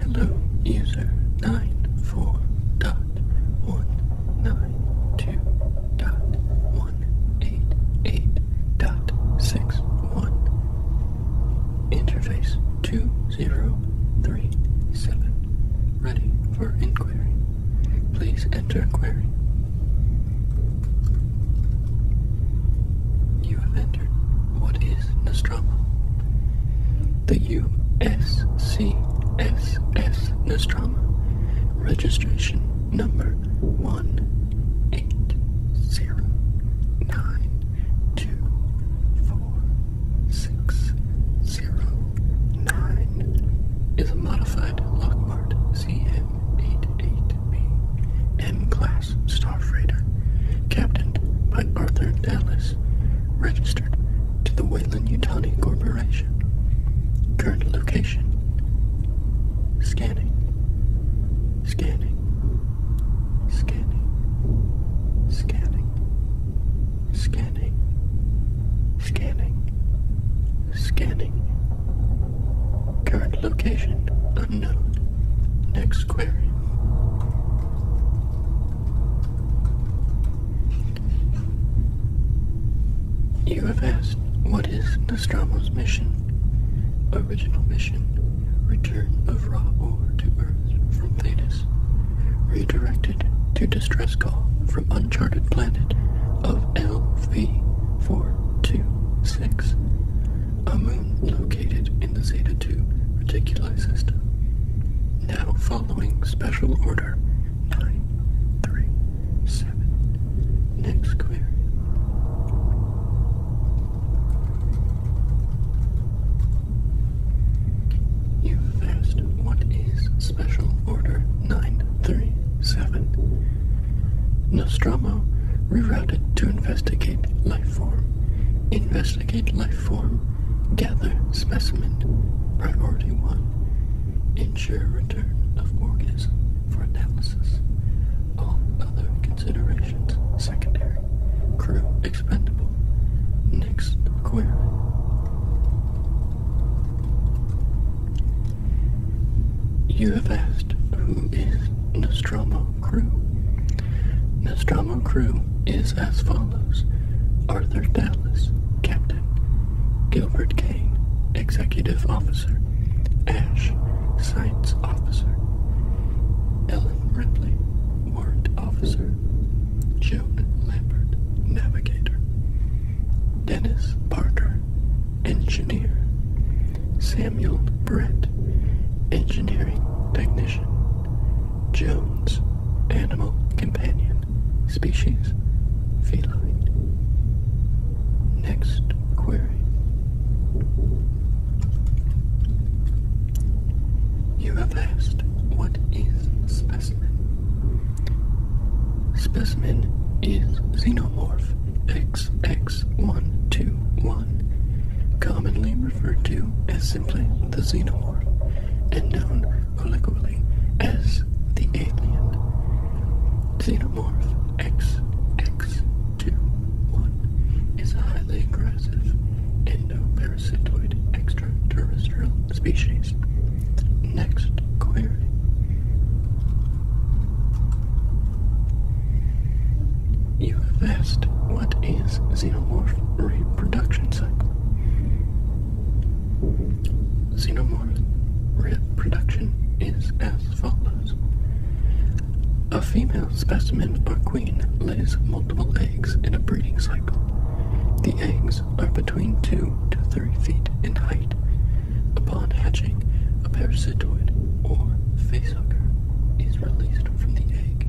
Hello, user nine four dot one nine two dot one eight eight dot six one interface 2037. Ready for inquiry. Please enter query. You have entered what is Nostromo. The USCSS Nostromo. Registration number one eight zero nine two, four, six, zero, nine is a modified Lockheed CM88B M-class star freighter, captained by Arthur Dallas, registered to the Wayland yutani Corporation. Current location. Scanning. Scanning scanning, scanning, scanning, scanning, scanning. Current location unknown. Next query. You have asked, what is Nostromo's mission? Original mission Return of raw ore to Earth from Thetis. Redirected to distress call from uncharted planet of LV426, a moon located in the Zeta 2 reticuli system. Now following special order 937. Next query. You asked what is Special Order 937. Nostromo rerouted to investigate life form. Investigate life form. Gather specimen. Priority 1. Ensure return of organism for analysis. All other considerations. Secondary. Crew. Expendable. Next query. You have asked who is Nostromo Crew? Nostromo Crew is as follows Arthur Dallas, Captain, Gilbert Kane, Executive Officer, Ash, Simon. Science Officer, Ellen Ripley, Warrant Officer, Joan Lambert, Navigator, Dennis Parker, Engineer, Samuel Brett, Engineering Technician, Jones, Animal Companion, Species, Feline. Next query. You have asked, what is specimen? Specimen is xenomorph X XX121, commonly referred to as simply the xenomorph, and known colloquially as the alien. Xenomorph X X two, one is a highly aggressive endoparasitoid extraterrestrial species. Next query. You have asked what is xenomorph reproduction cycle? Xenomorph reproduction is as as follows. A female specimen or queen lays multiple eggs in a breeding cycle. The eggs are between 2 to 3 feet in height. Upon hatching, a parasitoid or facehugger is released from the egg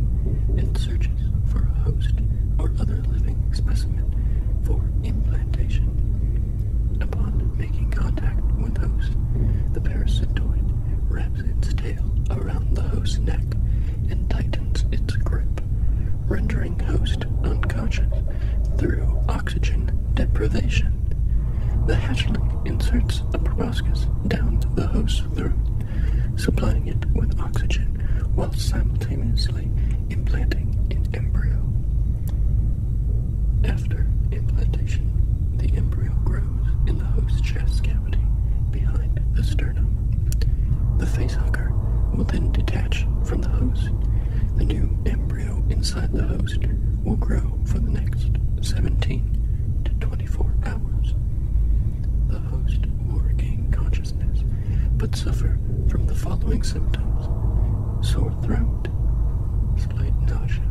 and searches for a host or other living specimen for implantation. Upon making contact with host, the parasitoid wraps its tail around the host's neck and tightens its grip, rendering host unconscious through oxygen deprivation. The hatchling inserts a proboscis down the host's throat, supplying it with oxygen while simultaneously implanting an embryo. After implantation, the embryo grows in the host's chest cavity behind the sternum. The facehugger will then detach from the host. The new embryo inside the host will grow for the next 17 to 24 hours. The host will regain consciousness but suffer from the following symptoms sore throat, with nausea,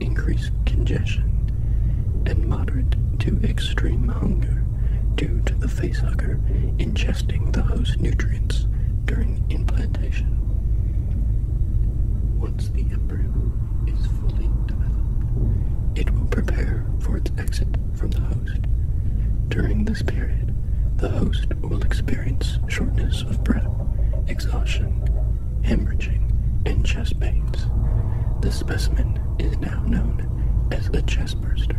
increased congestion, and moderate to extreme hunger due to the facehugger ingesting the host nutrients during implantation. Once the embryo is fully developed, it will prepare for its exit from the host. During this period, the host will experience shortness of breath, exhaustion, hemorrhaging, and chest pains. The specimen is now known as a chest burster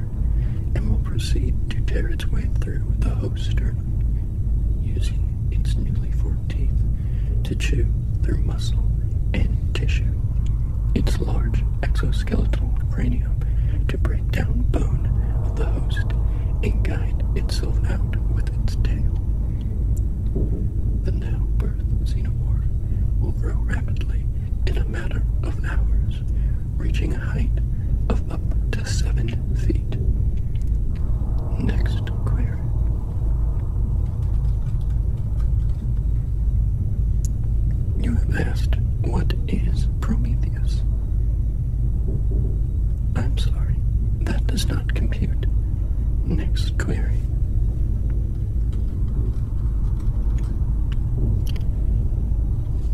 and will proceed to tear its way through the host's sternum, using its newly formed teeth to chew through muscle and tissue. Its large exoskeletal cranium to break down bone of the host and guide itself out with its tail. The now birth xenomorph will grow rapidly in a matter of hours, reaching a height of up to 7 feet. Next query. You have asked, what is Prometheus? I'm sorry, that does not compute. Next query.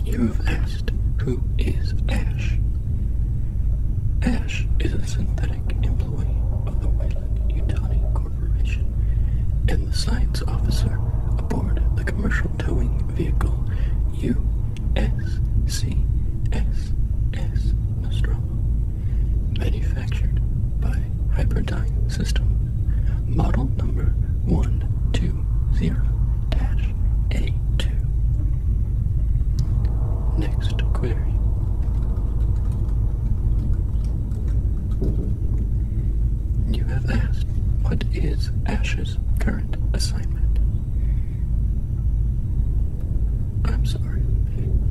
You have asked who is Ash. Ash is a synthetic employee of the Wayland Utility Corporation and the science officer aboard the commercial towing vehicle U SCSS Nostromo. Manufactured by Hyperdyne System. Model number 120-A2. Next query. You have asked what is Ash's current assignment. I'm sorry.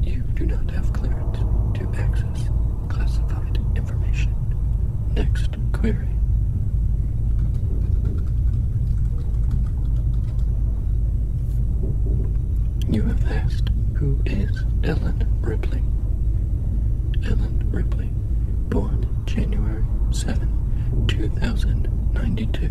You do not have clearance to access classified information. Next query. You have asked who is Ellen Ripley. Ellen Ripley, born January 7, 2092,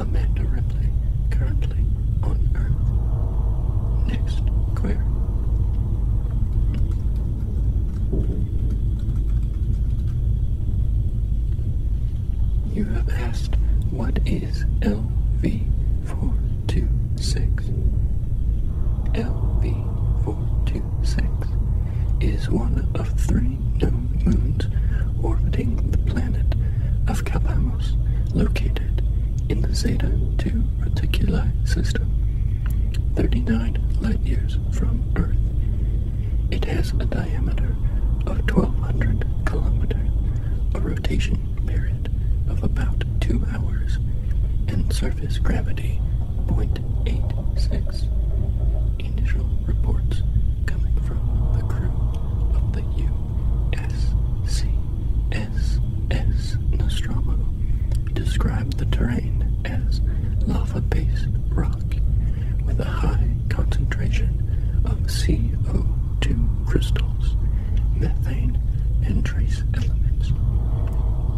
Amanda Ripley currently on Earth? Next query. You have asked what is LV426? LV426 is one of three numbers moons orbiting the planet of Calpamos, located in the Zeta 2 Reticula system, 39 light years from Earth. It has a diameter of 1200 kilometers, a rotation period of about 2 hours, and surface gravity 0.86 initial reports coming from the crew of the USCSS Nostromo described the terrain as lava-based rock with a high concentration of CO2 crystals, methane, and trace elements.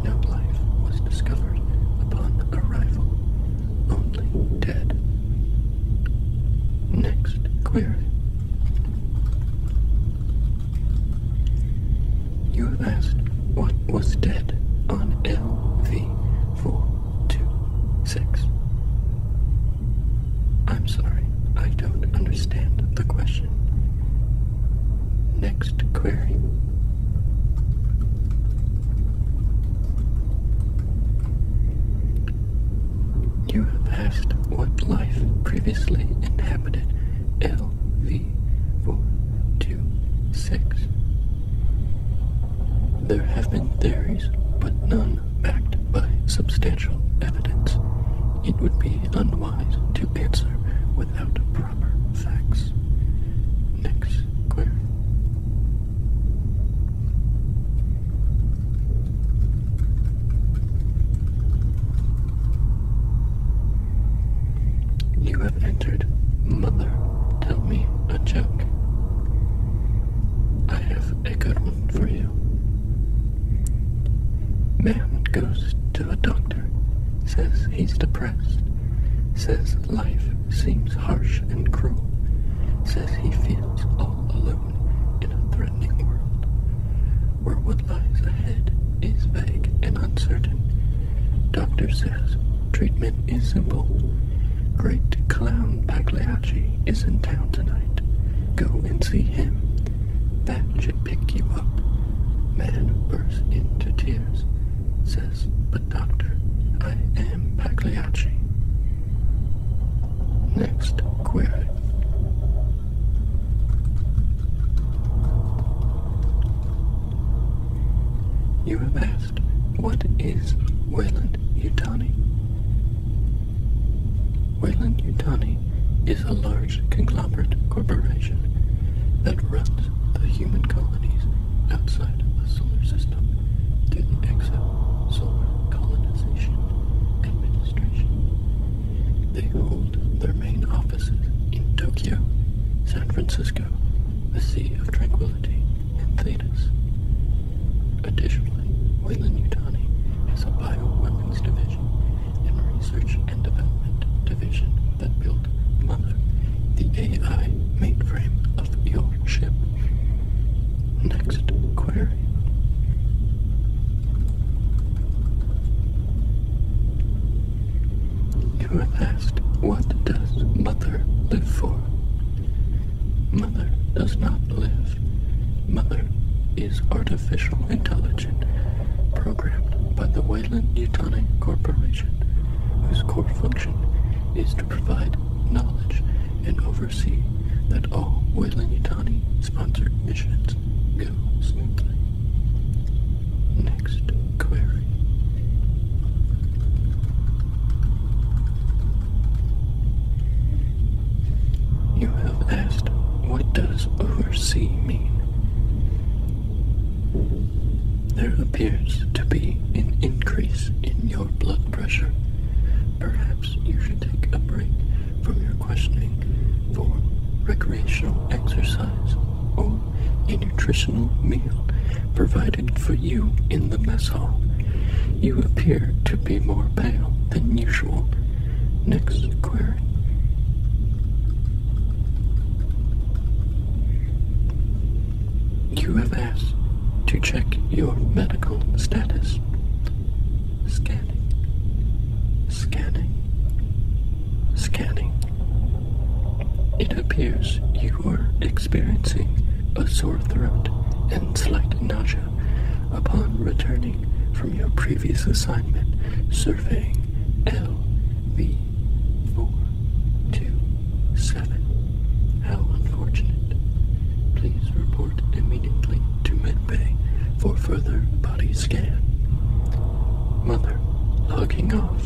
No life was discovered upon arrival, only dead. Next query. You have asked what was dead on LV426. I'm sorry, I don't understand the question. Next query. You have asked what life previously inhabited LV426. There have been theories, but none backed by substantial evidence. It would be unwise to answer without proper facts. Next query. You have entered Mother Tell Me a Joke. I have a good one for you. Man goes to a doctor, says he's depressed, says life seems harsh and cruel. Says he feels all alone in a threatening world, where what lies ahead is vague and uncertain. Doctor says treatment is simple. Great clown Pagliacci is in town tonight. Go and see him. That should pick you up. Man bursts into tears says, But doctor, I am Pagliacci. Next query. You have asked, what is Wayland Utani? Wayland Utani is a large conglomerate corporation that runs the human colonies outside the solar system to the exosolar colonization administration. They hold their main offices in Tokyo, San Francisco, the Sea of Tranquility, and Thetis. Additionally, Weyland-Yutani is a bio weapons division and research and development division that built Mother, the AI mainframe of your ship. Next query. You were asked, What does mother live for? Mother does not live. Mother is artificial intelligent programmed by the Wayland Yutani Corporation, whose core function is to provide knowledge and oversee that all Wayland sponsored missions go smoothly. Next query. You have asked, what does oversee mean? There appears to be an increase in your blood pressure. Perhaps you should take a break from your questioning for recreational exercise or a nutritional meal provided for you in the mess hall. You appear to be more pale than usual. Next query. You have asked to check your medical status. Scanning. Scanning. Scanning. It appears you are experiencing a sore throat and slight nausea upon returning from your previous assignment surveying LV three, four, two, seven. How unfortunate. Please report immediately to medbay for further body scan. Mother, logging off.